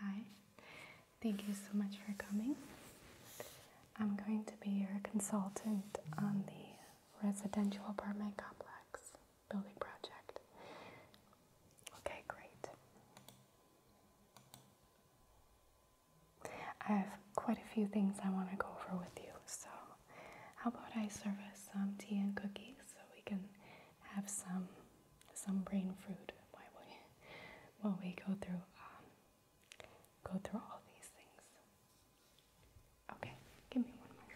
Hi, thank you so much for coming. I'm going to be your consultant on the residential apartment complex building project. Okay, great. I have quite a few things I want to go over with you, so how about I serve us some tea and cookies so we can have some some brain food while we, while we go through um, go through all these things. Okay, give me one moment.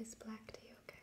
Is black tea okay?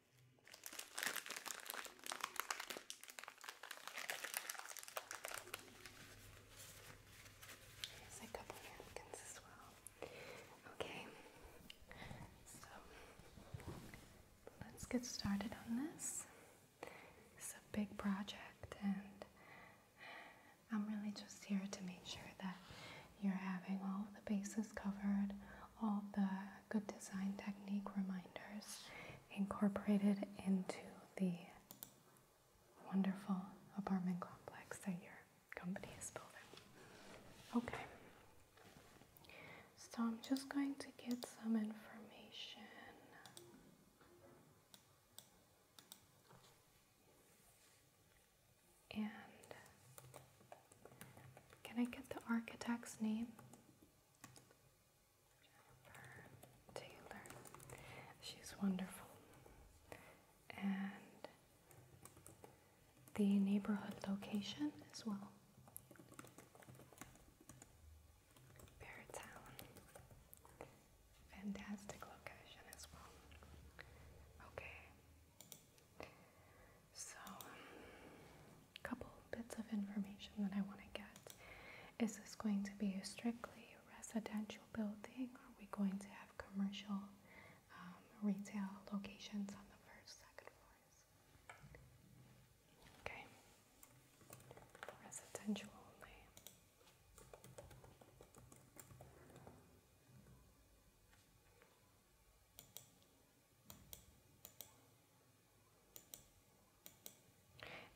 a couple napkins as well. Okay, so let's get started on this. It's a big project, and I'm really just here to make sure that you're having all the bases covered, all the good design technique reminders incorporated into the wonderful apartment complex that your company is building. Okay, so I'm just going to get some information. And can I get the architect's name? Jennifer Taylor. She's wonderful. And the neighborhood location as well. Beartown. Fantastic location as well. Okay. So, um, couple bits of information that I want to get. Is this going to be a strictly residential building? Are we going to have commercial um, retail locations on the first, second floors? Okay, residential only.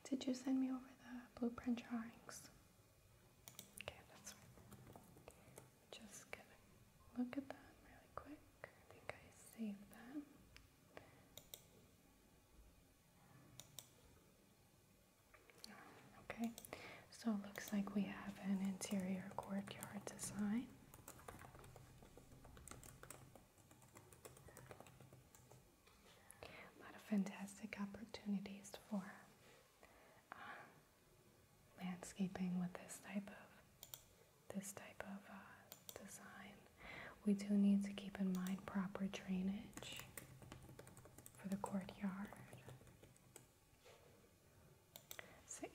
Did you send me over the blueprint drawings? Okay, that's fine. Just gonna look at them really quick. I think I saved them. Okay, so it looks like we have an interior courtyard design. A lot of fantastic opportunities for uh, landscaping with this type of this type of uh, design. We do need to keep in mind proper drainage for the courtyard.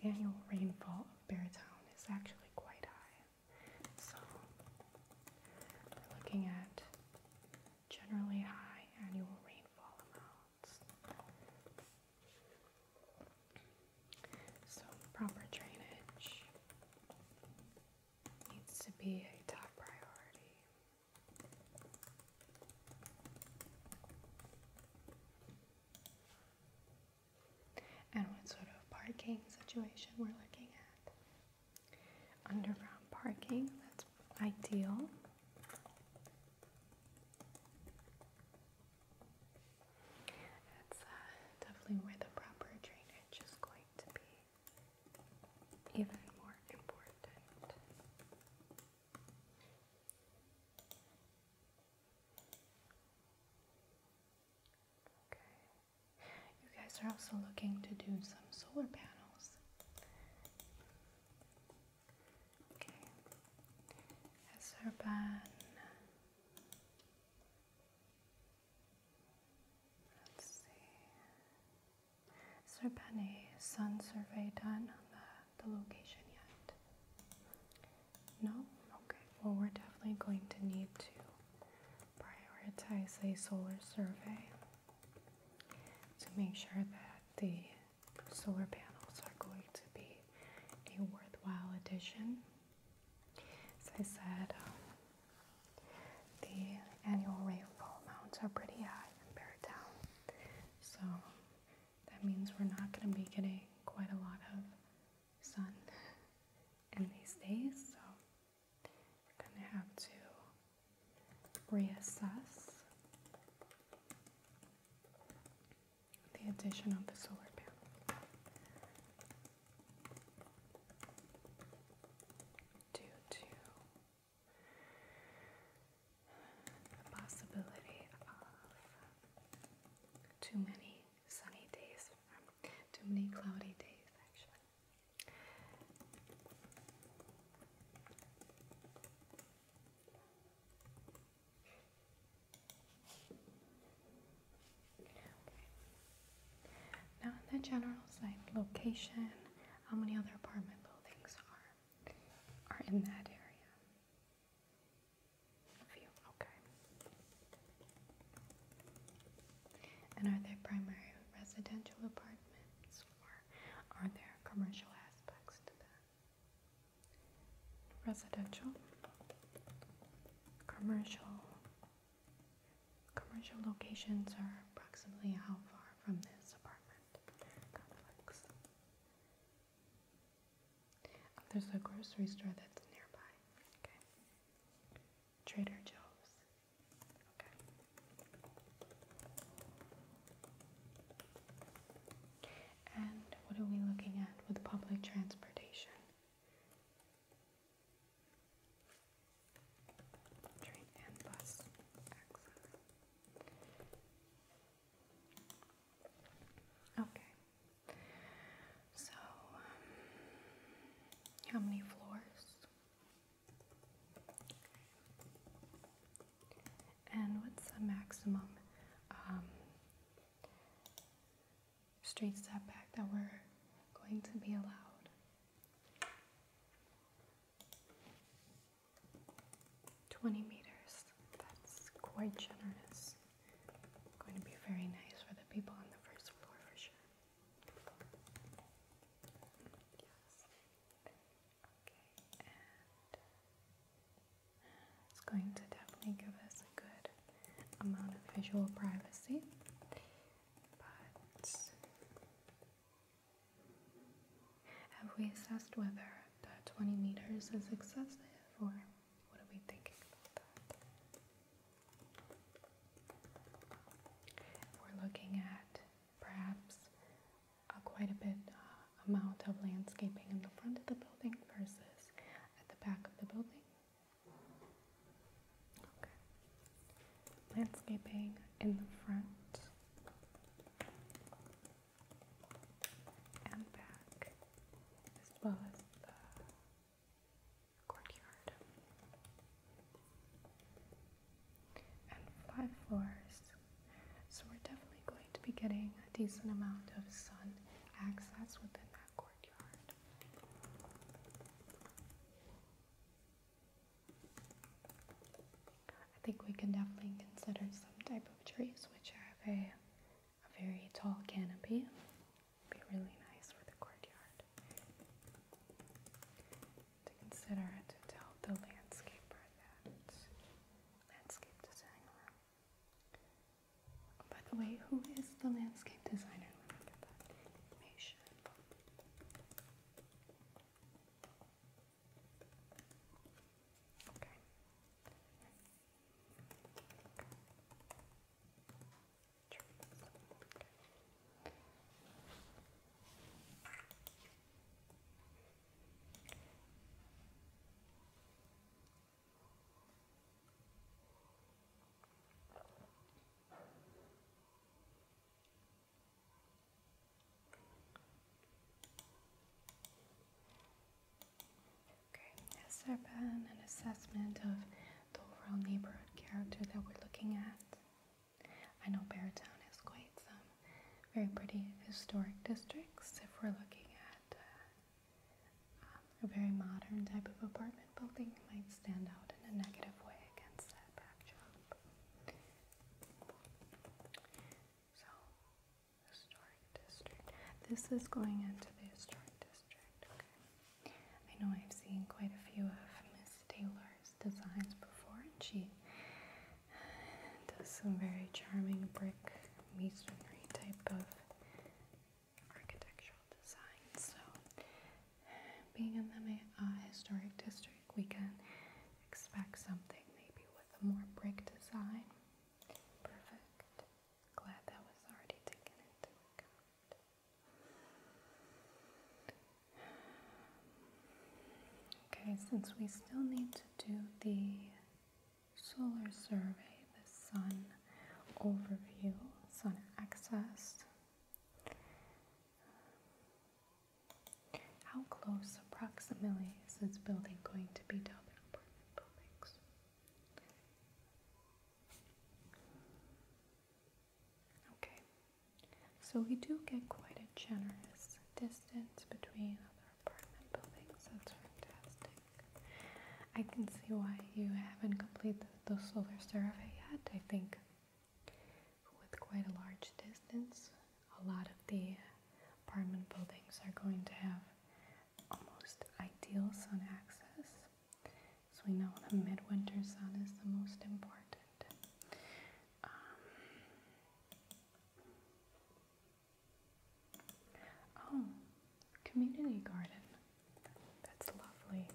The annual rainfall of Beartown is actually quite high. So we're looking at generally high annual rainfall amounts. So proper drainage needs to be a top priority. And what sort of parking situation we're looking at. Underground parking, that's ideal. That's uh, definitely where the proper drainage is going to be even more important. Okay. You guys are also looking to do some solar panels. Okay. Azerban. Let's see. Has there been a sun survey done on the, the location yet? No? Okay. Well, we're definitely going to need to prioritize a solar survey to make sure that the solar panels are going to be a worthwhile addition. As I said, um, the annual rainfall amounts are pretty high compared down, so that means we're not going to be getting quite a lot of sun in these days. So gonna have to reassess the addition of the solar panel due to the possibility of too many sunny days, um, too many cloudy days, actually. Now in the general site location, how many other apartment buildings are are in that area? A few, okay. And are there primary residential apartments or are there commercial aspects to that? Residential, commercial, commercial locations are approximately how far from this apartment complex? Oh, there's a grocery store that's nearby. Okay. Trader Joe's. And what are we looking at with public transportation? Train and bus. Excellent. Okay. So, um, how many floors? And what's the maximum um, straight step back that we're going to be allowed? Twenty meters. That's quite generous. Going to be very nice for the people on the first floor for sure. Uh, it's going to definitely give us a good amount of visual privacy, but have we assessed whether the 20 meters is excessive or what are we thinking about that? We're looking at perhaps a quite a bit uh, amount of landscaping in the front of the building versus at the back of the building. Landscaping in the front and back, as well as the courtyard. And five floors. So we're definitely going to be getting a decent amount of sun access within that courtyard. I think we can definitely consider some type of trees which have a, a very tall canopy. Be really nice for the courtyard to consider it to tell the landscaper that landscape designer. Oh, by the way, who is the landscape designer? Okay, has there been an assessment of the overall neighborhood character that we're looking at? I know Beartown has quite some very pretty historic districts if we're looking at uh, um, a very modern type of apartment building might stand out in a negative way against that backdrop. So, historic district. This is going into the historic district, okay. I know I've seen quite a few of Miss Taylor's designs before, and she does some very charming brick masonry type of architectural design. So, being in the uh, historic district, we can expect something maybe with a more brick design. Perfect. Glad that was already taken into account. Okay, since we still need to do the solar survey, the sun overview, sun access, how close approximately is this building going to be to other buildings? Okay, so we do get quite a generous distance between other apartment buildings. That's fantastic. I can see why you haven't completed the solar survey yet. I think with quite a large distance, a lot of the apartment buildings are going to have almost ideal sun access. So we know the midwinter sun is the most important. Um, oh, community garden. That's lovely.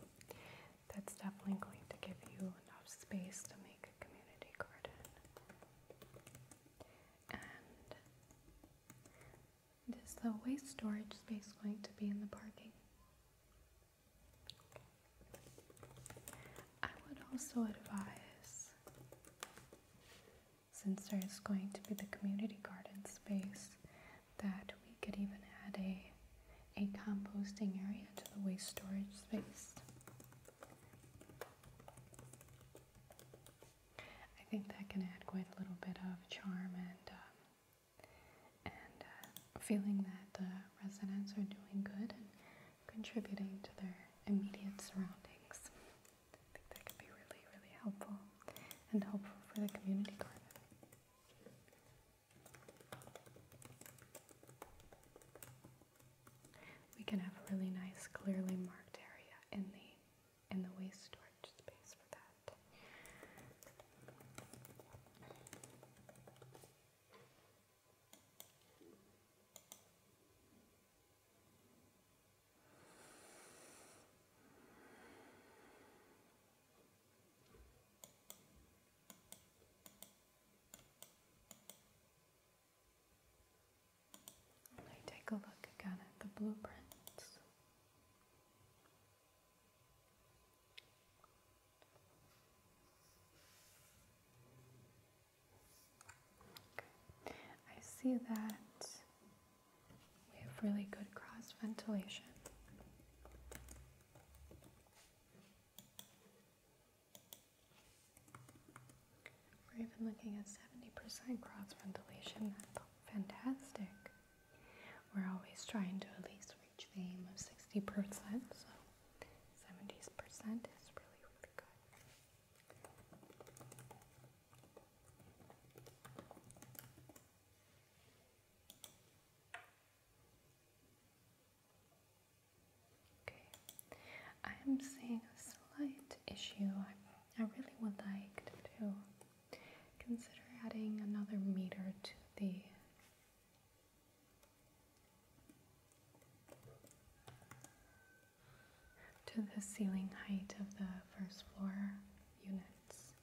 That's definitely going to give you enough space to make a community garden. And is the waste storage space going to be in the parking? I would also advise, since there's going to be the community garden space, that we could even add a, a composting area to the waste storage space. I think that can add quite a little bit of charm and um, and uh, feeling that the residents are doing good contributing to their immediate surroundings. I think that could be really, really helpful and helpful for the community garden. We can have a really nice, clearly marked area in the in the waste storage space for that. Let me take a look again at the blueprints. I see that we have really good cross ventilation. We're even looking at 70% cross ventilation. That's fantastic. We're always trying to at least reach the aim of 60%, so 70% is really, really good. Okay, I am seeing a slight issue. I, I really would like to consider adding another meter to the to the ceiling height of the first floor units.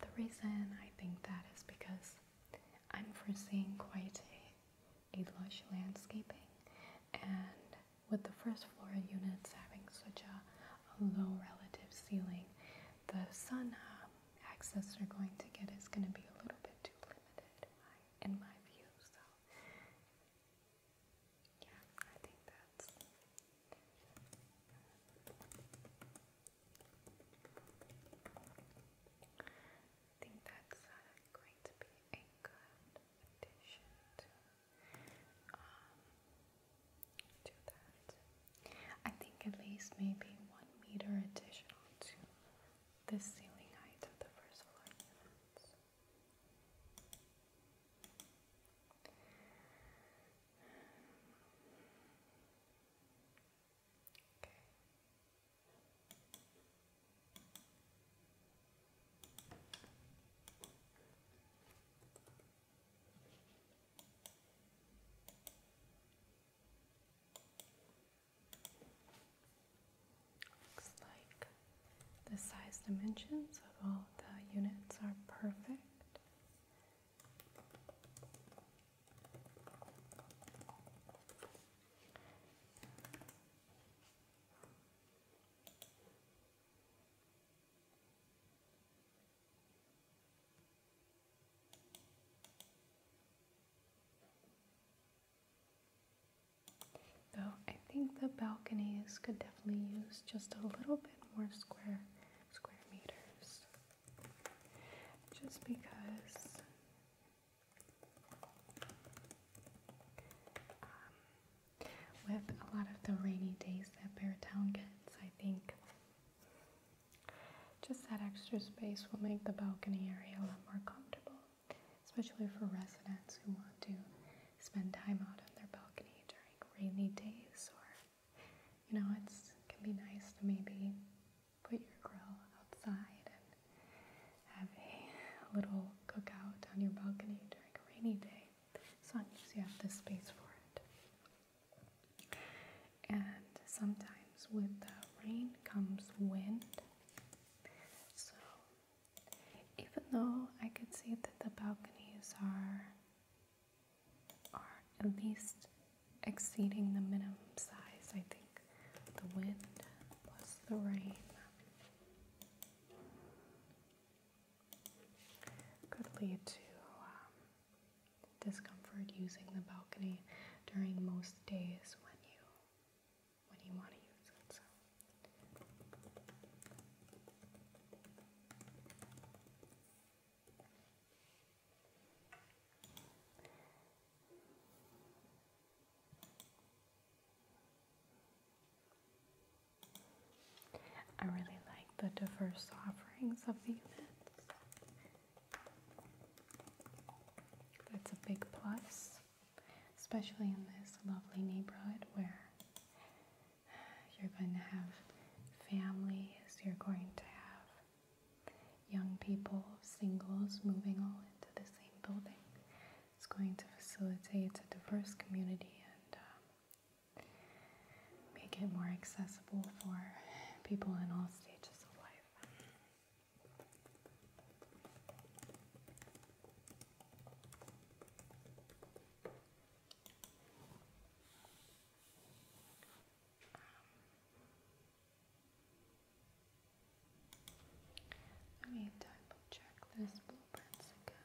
The reason I think that is because I'm foreseeing quite a, lush landscaping and with the first floor units having such a a low relative ceiling, the sun uh, access they're going to get is going to be a little bit too limited in my, view. So, yeah, I think that's. I think that's uh, going to be a good addition um, I think at least maybe one meter additional to the ceiling height of the first floor Looks like the size dimensions of all the units are perfect. Though I think the balconies could definitely use just a little bit more square square meters. Just because um, with a lot of the rainy days that Bear Town gets, I think just that extra space will make the balcony area a lot more comfortable, especially for residents who want to spend time out on their balcony during rainy days or you know, it can be nice to maybe put your grill outside and have a little cookout on your balcony during a rainy day, as long as you have this space for it and sometimes with the rain comes wind so even though I could see that the balconies are are at least exceeding the minimum size I think the wind plus the rain could lead to um, discomfort using the balcony during most days when you when you want to use it. I really like the diverse offerings of the events. That's a big plus, especially in this lovely neighborhood where you're going to have families, you're going to have young people, singles moving all into the same building. It's going to facilitate a diverse community and um, make it more accessible for people in all stages of life. Um, let me double check this blueprints again.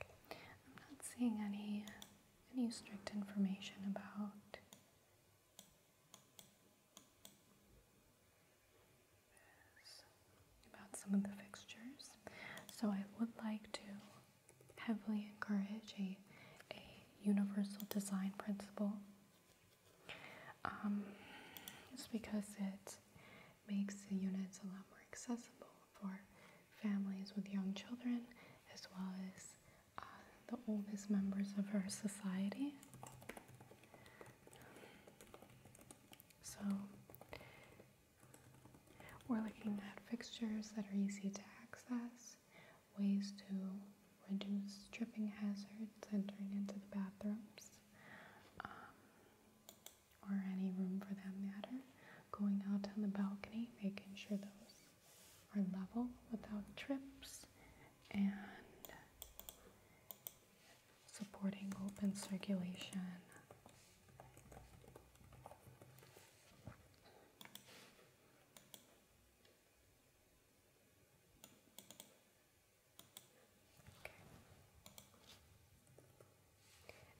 I'm not seeing any any strict information about about some of the fixtures. So I would like to heavily encourage a a universal design principle it's um, because it makes the units a lot more accessible for families with young children as well as uh, the oldest members of our society. So we're looking at fixtures that are easy to access, ways to reduce tripping hazards entering into the bathrooms, um, or any room for that matter. Going out on the balcony, making sure those are level without trips, and supporting open circulation.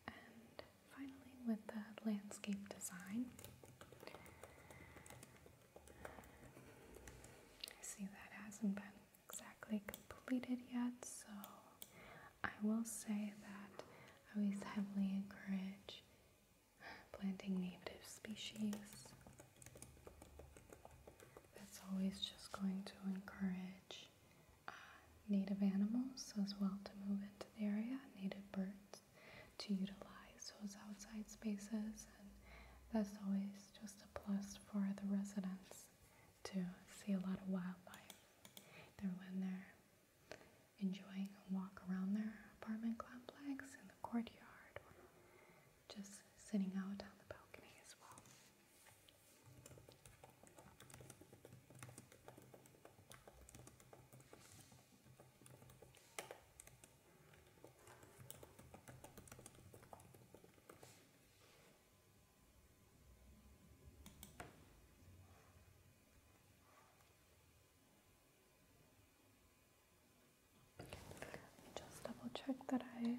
And finally, with the landscape design, I see that hasn't been exactly completed yet, so I will say that I always heavily encourage planting native species that's always just going to encourage uh, native animals as well to move into the area, native birds to utilize those outside spaces, and that's always just a plus for the residents to see a lot of wildlife either when they're enjoying a walk around their apartment complex in the courtyard just sitting out on the balcony as well. just double check that I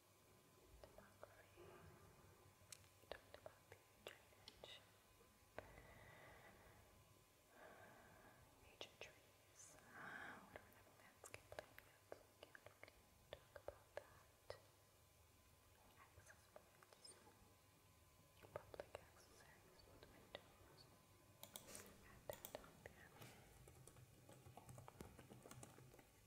demography. We talked about the drainage, major trees. Uh, we do landscape plan can't really talk about that. Access points, public access areas windows. Add that on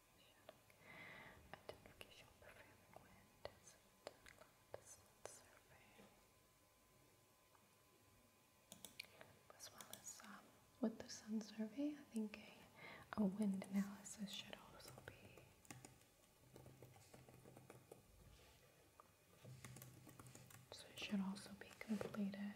wind As well as um, with the sun survey, I think a, a wind analysis should also be. So should also be completed.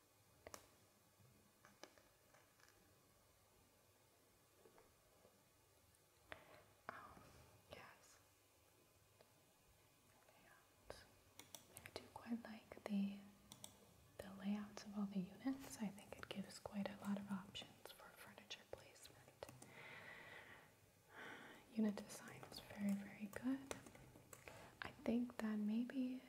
Oh, yes. I do quite like the the layouts of all the units. I think it gives quite a lot of options for furniture placement. Unit design is very, very good. I think that maybe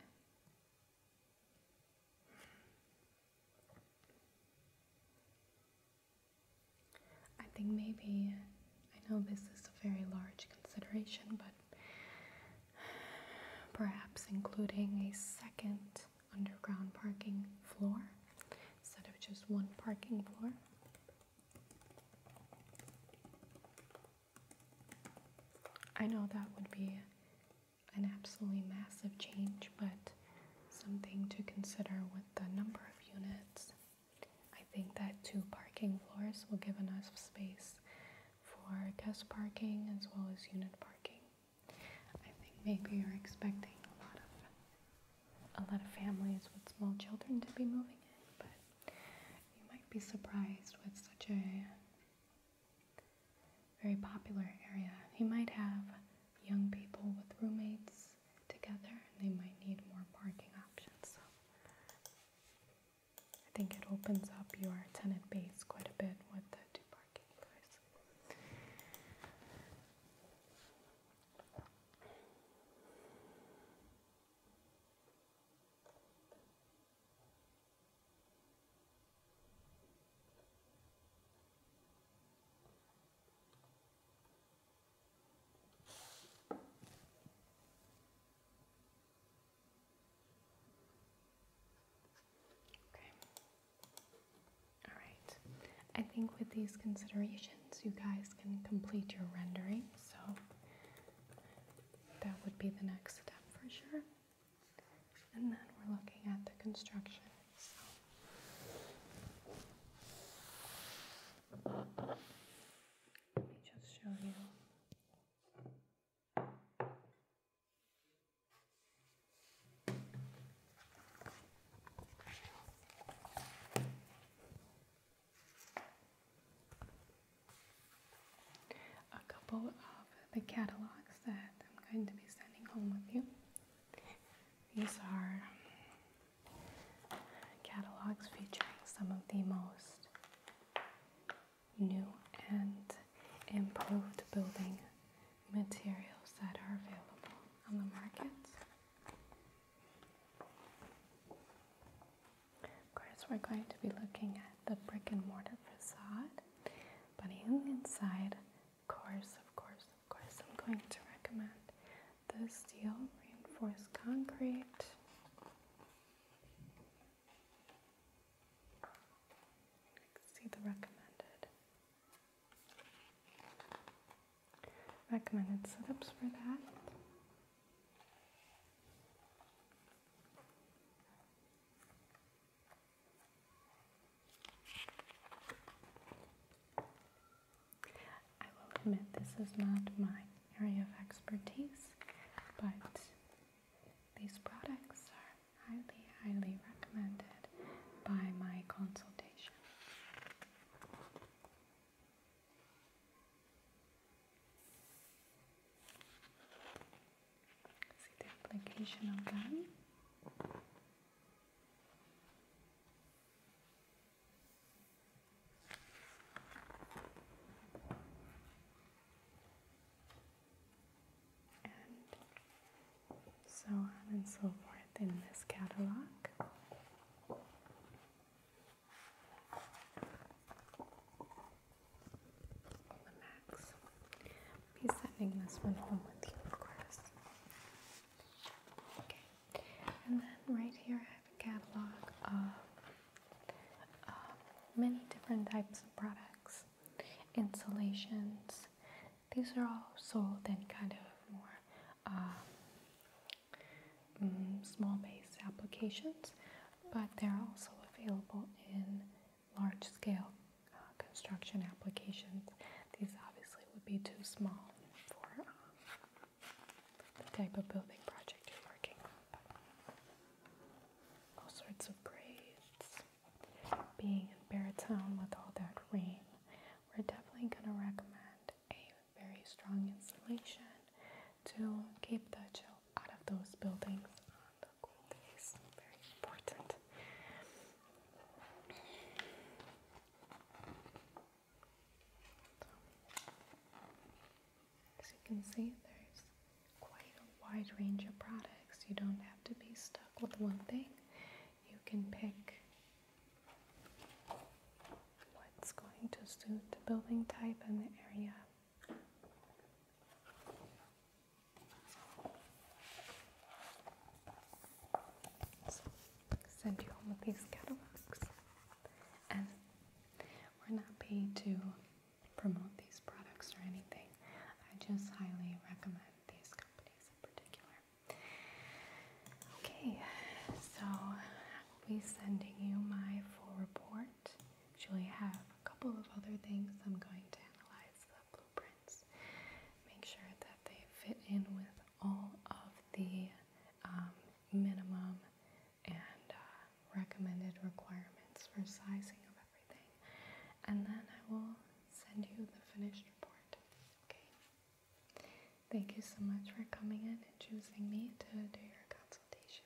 I think maybe, I know this is a very large consideration, but perhaps including a second underground parking floor instead of just one parking floor. I know that would be an absolutely massive change, but something to consider with the number of units. I think that two parking floors will give enough space for guest parking as well as unit parking. I think maybe you're expecting a lot of a lot of families with small children to be moving in, but you might be surprised with such a very popular area. You might have young people with roommates together and they might need more parking options. So I think it opens up your tenant base quite a bit with the two parking floors. Okay. All right. I think with these considerations, you guys can complete your rendering. So that would be the next step for sure and then we're looking at the construction. Let me just show you a couple of the catalogs that I'm going to be sending home with you. These are um, catalogs featuring some of the most new and improved building materials that are available on the market. Of course, we're going to be looking at the brick and mortar facade, Putting inside, of course, of course, of course, I'm going to recommend the steel reinforced concrete. See the recommended recommended setups for that. I will admit this is not my area of expertise, but these products are highly, highly recommended by my consultation see the application all done. And so on and so forth in this catalog. The Max be sending this one home with you, of course. Okay, and then right here I have a catalog of um, many different types of products, insulations. These are all sold in kind of more um, mm, small base applications, but they're also available in large-scale uh, construction applications. These obviously would be too small for um, the type of building project you're working on. all sorts of grades. Being in Barrettown with all that rain, we're definitely going to recommend a very strong insulation to keep the chill out of those buildings gold is very important. As you can see, there's quite a wide range of products. You don't have to be stuck with one thing. You can pick what's going to suit the building type and the area send you home with these catalogs. And we're not paid to promote these products or anything. I just highly recommend these companies in particular. Okay, so I will be sending you my full report. Actually, I have a couple of other things I'm going to analyze blueprints. Make sure that they fit in with all of the um, minimum and uh, recommended requirements for sizing of everything. And then I will send you the finished report. Okay? Thank you so much for coming in and choosing me to do your consultation.